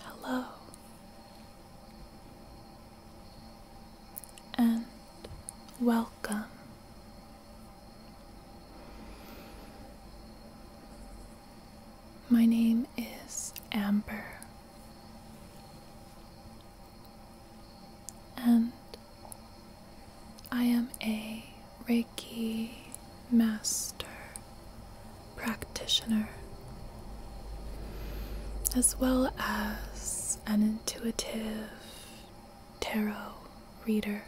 Hello, and welcome. My name is Amber, and I am a Reiki master practitioner, as well as an intuitive tarot reader.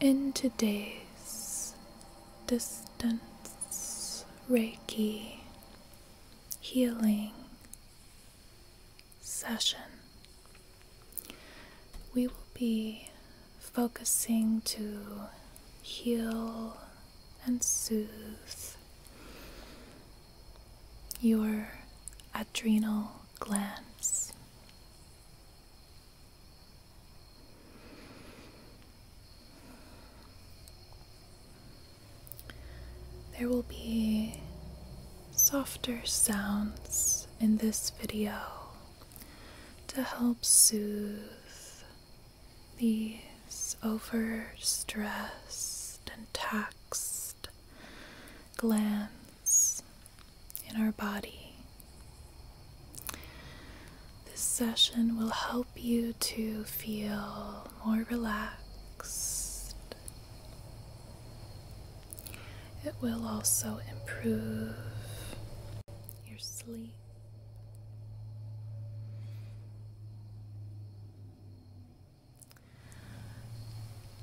In today's distance Reiki healing session, we will be focusing to heal and soothe your adrenal glands. There will be softer sounds in this video to help soothe these overstressed and taxed glands in our body. This session will help you to feel more relaxed. It will also improve your sleep.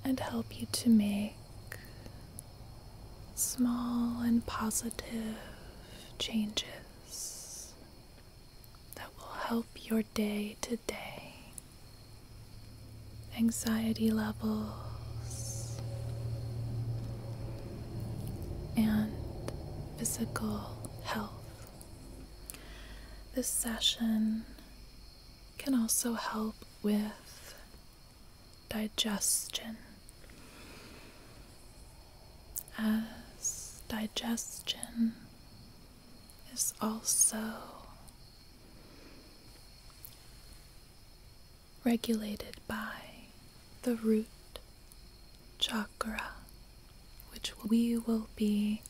And help you to make small and positive changes that will help your day to day anxiety levels and physical health. This session can also help with digestion. As digestion is also regulated by the root chakra, which we will be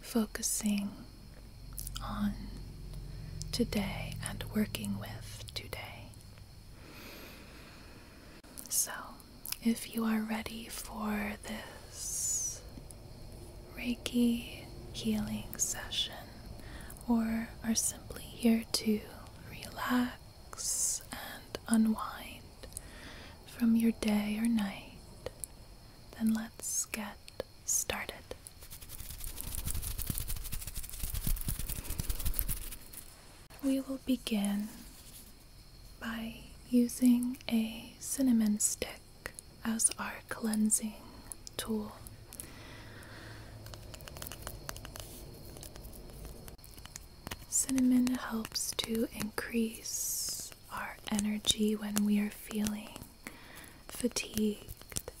focusing on today and working with today. So, if you are ready for this Reiki healing session or are simply here to relax and unwind from your day or night, then let's get started. We will begin by using a cinnamon stick as our cleansing tool. Cinnamon helps to increase our energy when we are feeling fatigued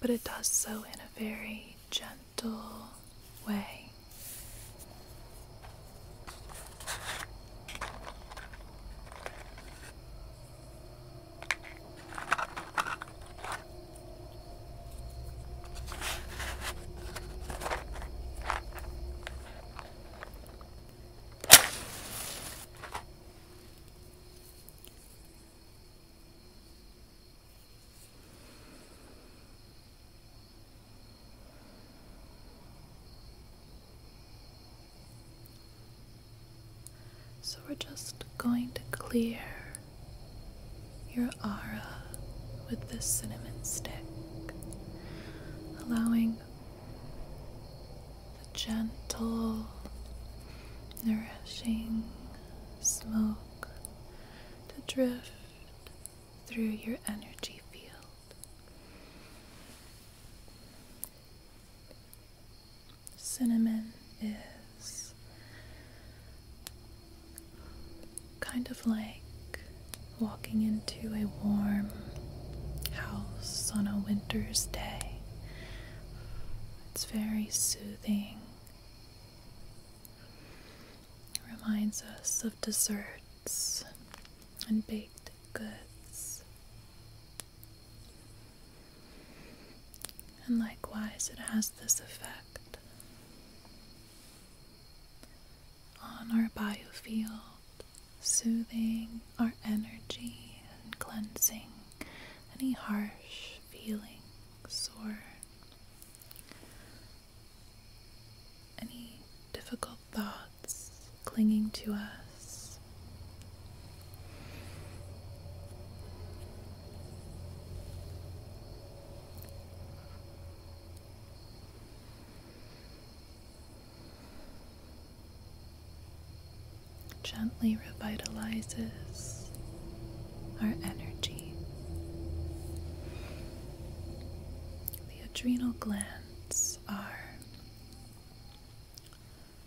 but it does so in a very gentle way. So we're just going to clear your aura with this cinnamon stick, allowing the gentle, nourishing smoke to drift through your energy field. Cinnamon is kind of like walking into a warm house on a winter's day. It's very soothing. It reminds us of desserts and baked goods. And likewise, it has this effect on our biofield, soothing our energy and cleansing any harsh feelings or any difficult thoughts clinging to us gently revitalizes our energy. The adrenal glands are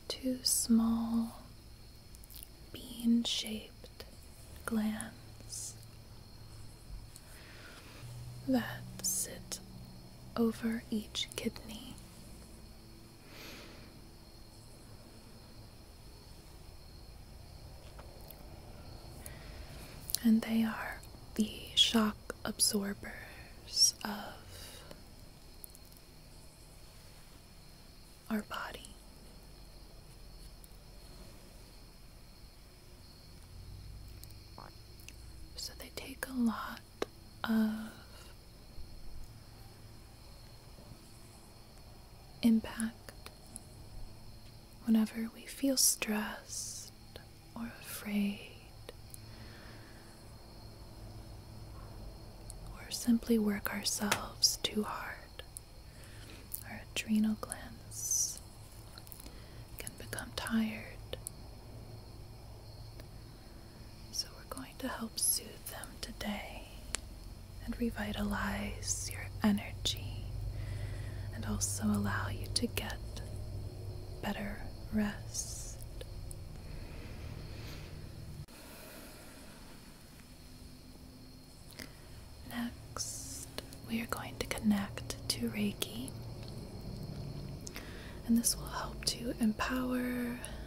two small bean shaped glands that sit over each kidney. And they are the shock absorbers of our body. So they take a lot of impact whenever we feel stressed or afraid or simply work ourselves too hard. Our adrenal glands can become tired. So, we're going to help soothe them today and revitalize your energy and also allow you to get better rest. Next, we are going to connect to Reiki, and this will help to empower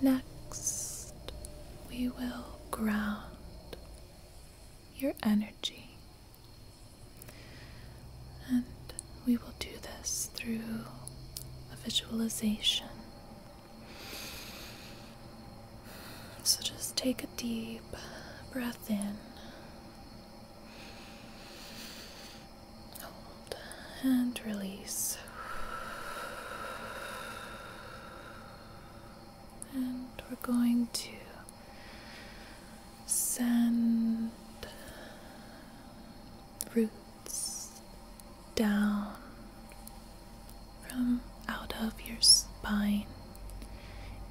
Next, we will ground your energy. And we will do this through a visualization. So just take a deep breath in and release. And we're going to send roots down from out of your spine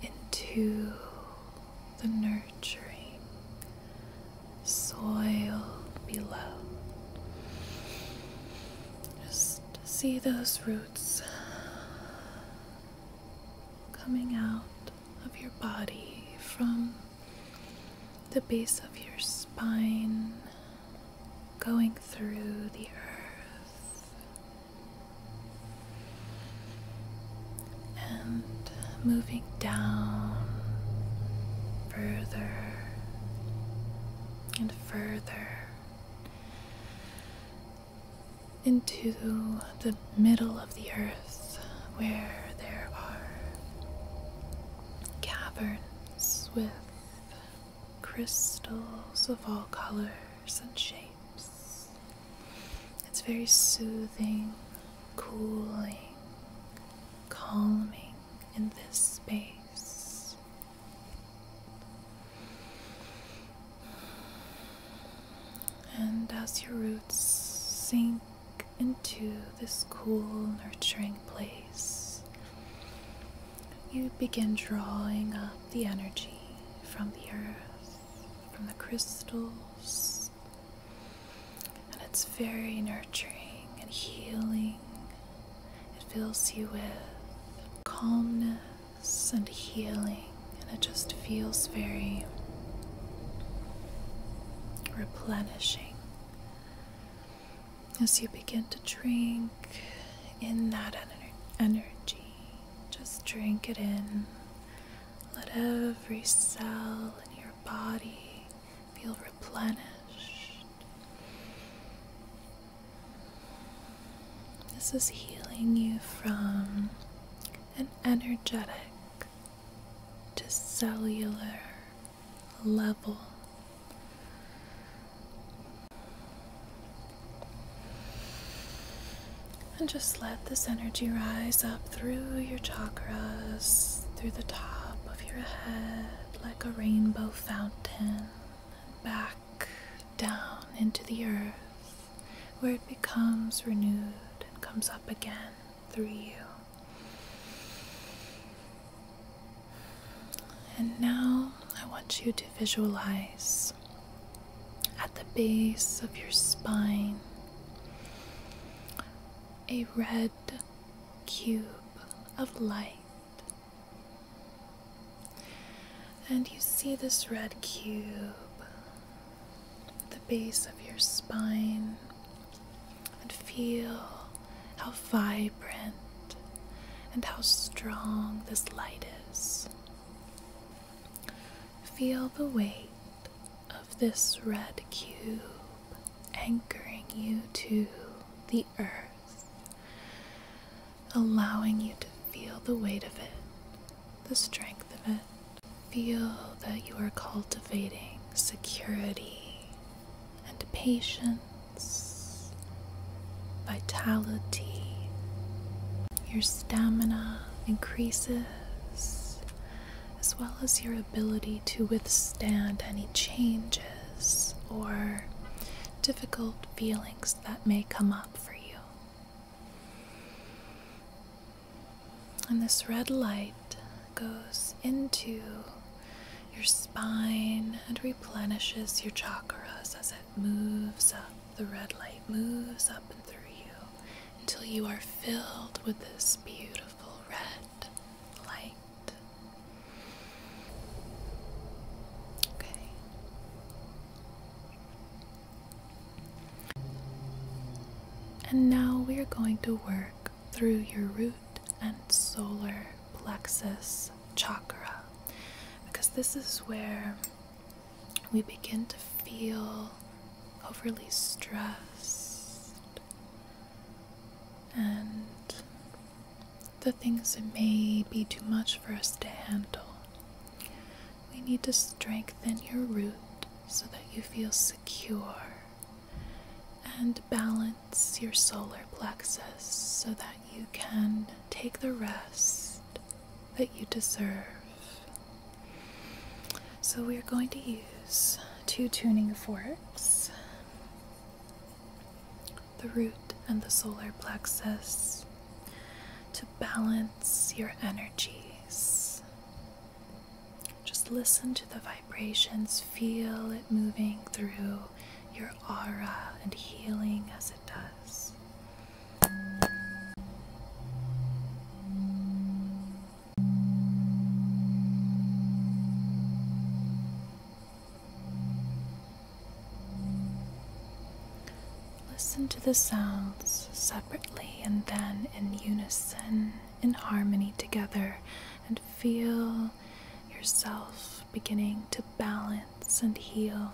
into the nurturing soil below. Just see those roots coming out of your body from the base of your spine, going through the earth. And moving down further and further into the middle of the earth where there are caverns with crystals of all colors and shapes. It's very soothing, cooling, calming in this space. And as your roots sink into this cool, nurturing place, you begin drawing up the energy from the earth, from the crystals, and it's very nurturing and healing it fills you with calmness and healing, and it just feels very replenishing. As you begin to drink in that energy, just drink it in. Let every cell in your body feel replenished. This is healing you from an energetic to cellular level. And just let this energy rise up through your chakras, through the top of your head, like a rainbow fountain back down into the earth where it becomes renewed and comes up again through you. And now I want you to visualize at the base of your spine a red cube of light. And you see this red cube at the base of your spine, and feel how vibrant and how strong this light is. Feel the weight of this red cube anchoring you to the earth, allowing you to feel the weight of it, the strength of it. Feel that you are cultivating security and patience, vitality. Your stamina increases as well as your ability to withstand any changes or difficult feelings that may come up for you. And this red light goes into your spine and replenishes your chakras as it moves up. The red light moves up and through you until you are filled with this beautiful red light. Okay. And now we are going to work through your root and solar plexus chakra because this is where we begin to feel overly stressed and the things that may be too much for us to handle. We need to strengthen your root so that you feel secure and balance your solar plexus so that you can take the rest that you deserve. So we are going to use two tuning forks the root and the solar plexus to balance your energies. Just listen to the vibrations, feel it moving through your aura and healing as it does. Listen to the sounds separately and then in unison, in harmony together, and feel yourself beginning to balance and heal.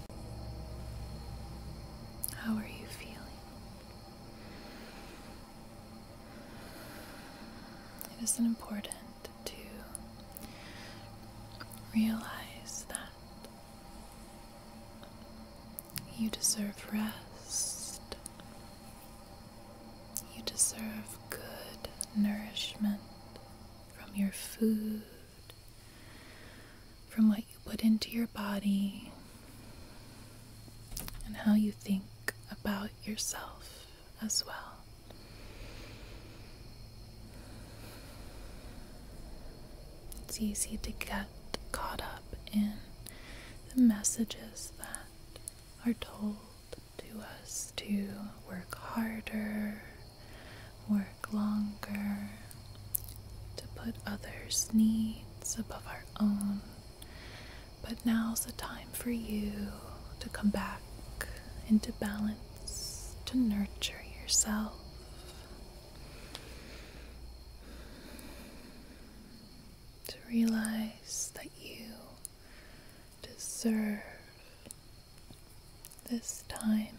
How are you feeling? It is important to realize that you deserve rest, you deserve good nourishment from your food, from what you put into your body and how you think about yourself as well. It's easy to get caught up in the messages that are told to us to work harder, work longer, to put others' needs above our own. But now's the time for you to come back into balance, to nurture yourself. To realize that you deserve this time,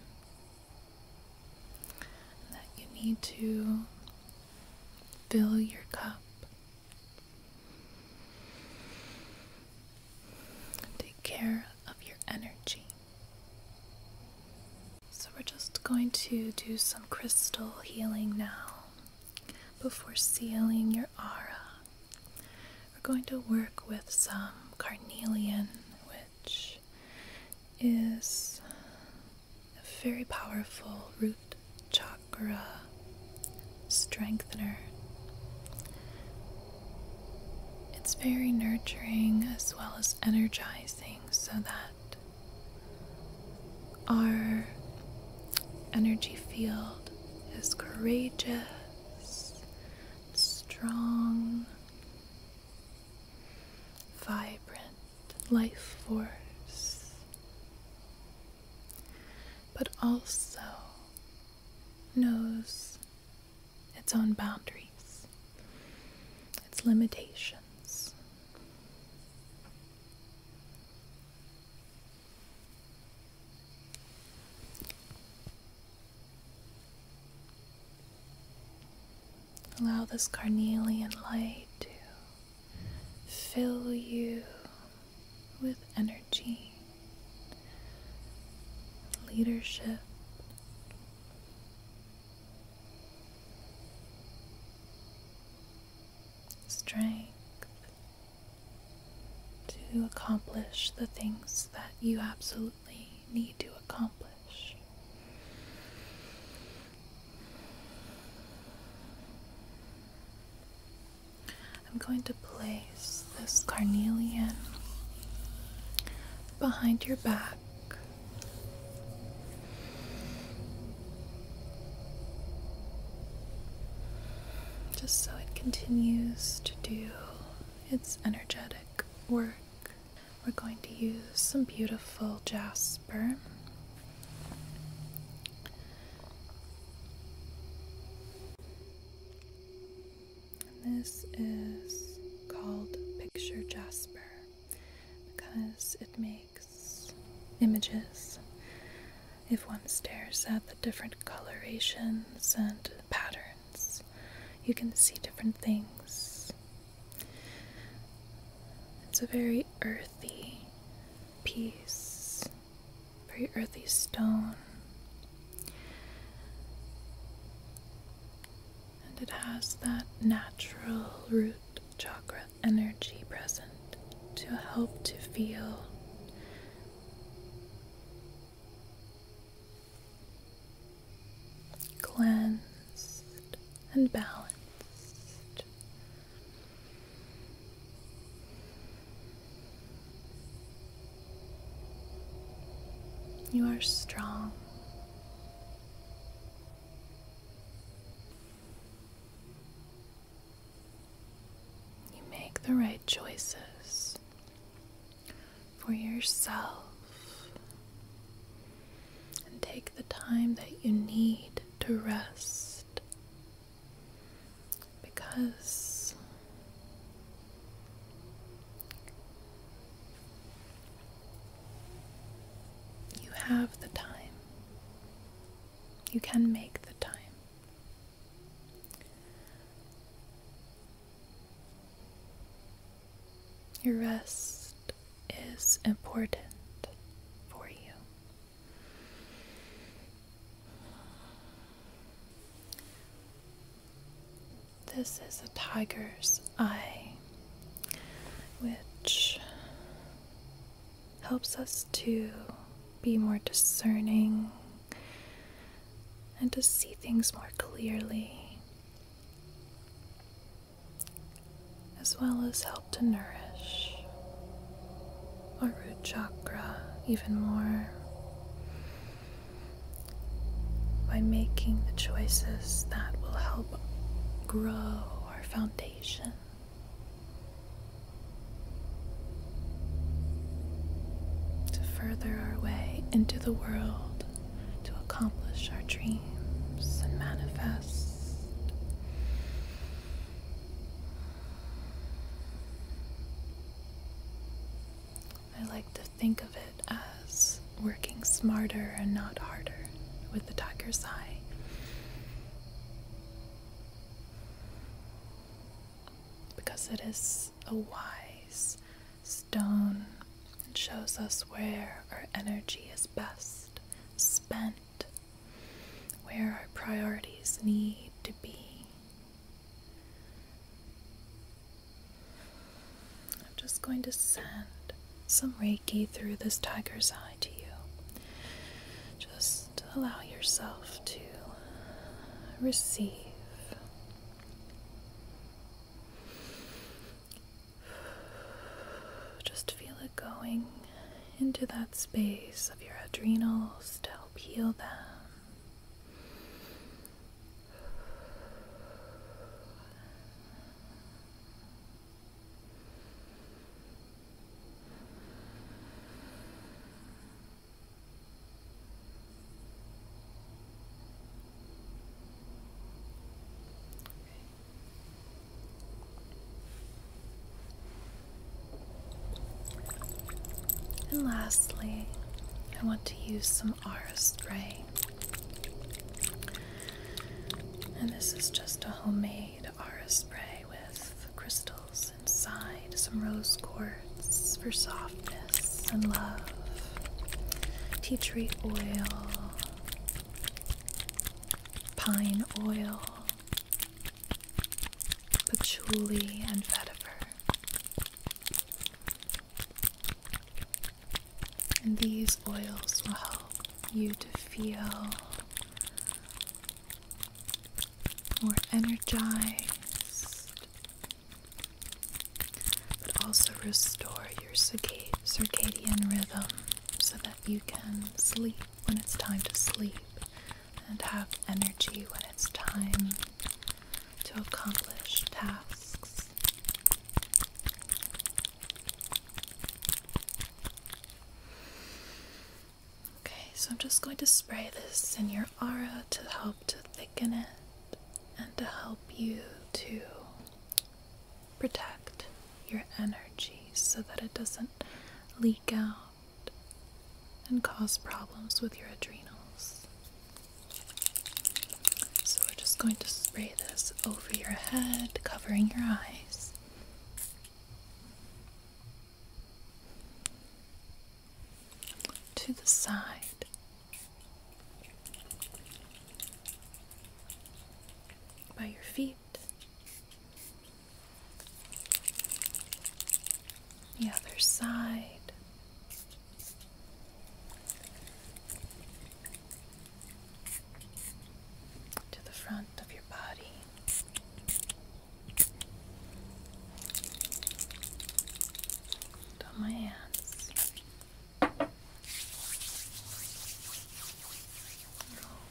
that you need to fill your cup. Take care of your energy. So, we're just going to do some crystal healing now before sealing your aura we're going to work with some carnelian, which is a very powerful root chakra strengthener. It's very nurturing as well as energizing so that our energy field is courageous strong, vibrant life force, but also knows its own boundaries, its limitations. Allow this carnelian light to fill you with energy, leadership. Strength to accomplish the things that you absolutely need to accomplish. I'm going to place this carnelian behind your back. Just so it continues to do it's energetic work. We're going to use some beautiful jasper. this is called picture jasper because it makes images. If one stares at the different colorations and patterns. You can see different things. It's a very earthy piece, very earthy stone. And it has that natural root chakra energy present to help to feel cleansed and balanced. You are strong. You make the right choices for yourself and take the time that you need to rest because you have the time. You can make the time. Your rest is important for you. This is a tiger's eye, which helps us to be more discerning and to see things more clearly, as well as help to nourish our root chakra even more by making the choices that will help grow our foundation to further our way into the world, to accomplish our dreams and manifest. I like to think of it as working smarter and not harder with the tiger's eye. Because it is a wise stone and shows us where our energy is best spent, where our priorities need to be. I'm just going to send some Reiki through this tiger's eye to you. Just allow yourself to receive. Just feel it going into that space of your adrenals to help heal them. And lastly, I want to use some R spray. And this is just a homemade R spray with crystals inside, some rose quartz for softness and love, tea tree oil, pine oil, patchouli, and vetiver. And these oils will help you to feel more energized, but also restore your circadian rhythm so that you can sleep when it's time to sleep and have energy when it's time to accomplish tasks. Okay, so I'm just going to spray this in your aura to help to thicken it and to help you to protect your energy so that it doesn't leak out and cause problems with your adrenals. So we're just going to spray this over your head, covering your eyes to the side. By your feet. The other side. To the front of your body on my hands.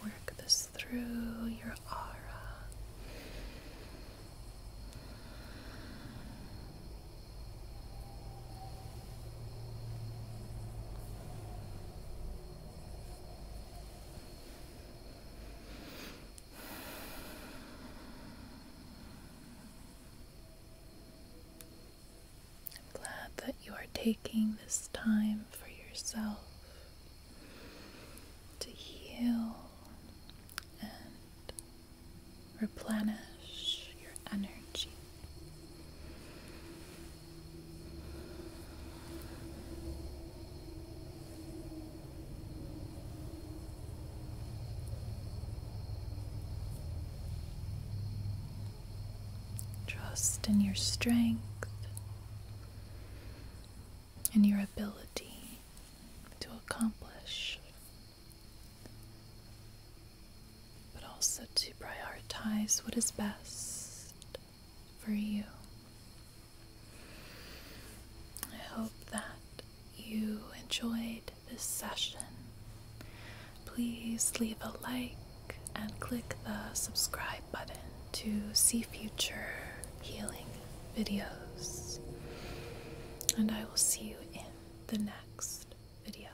work this through your aura. I'm glad that you are taking this time for yourself to heal and replenish your energy. Trust in your strength and your ability to accomplish, but also to prioritize what is best for you. I hope that you enjoyed this session. Please leave a like and click the subscribe button to see future healing videos. And I will see you in the next video.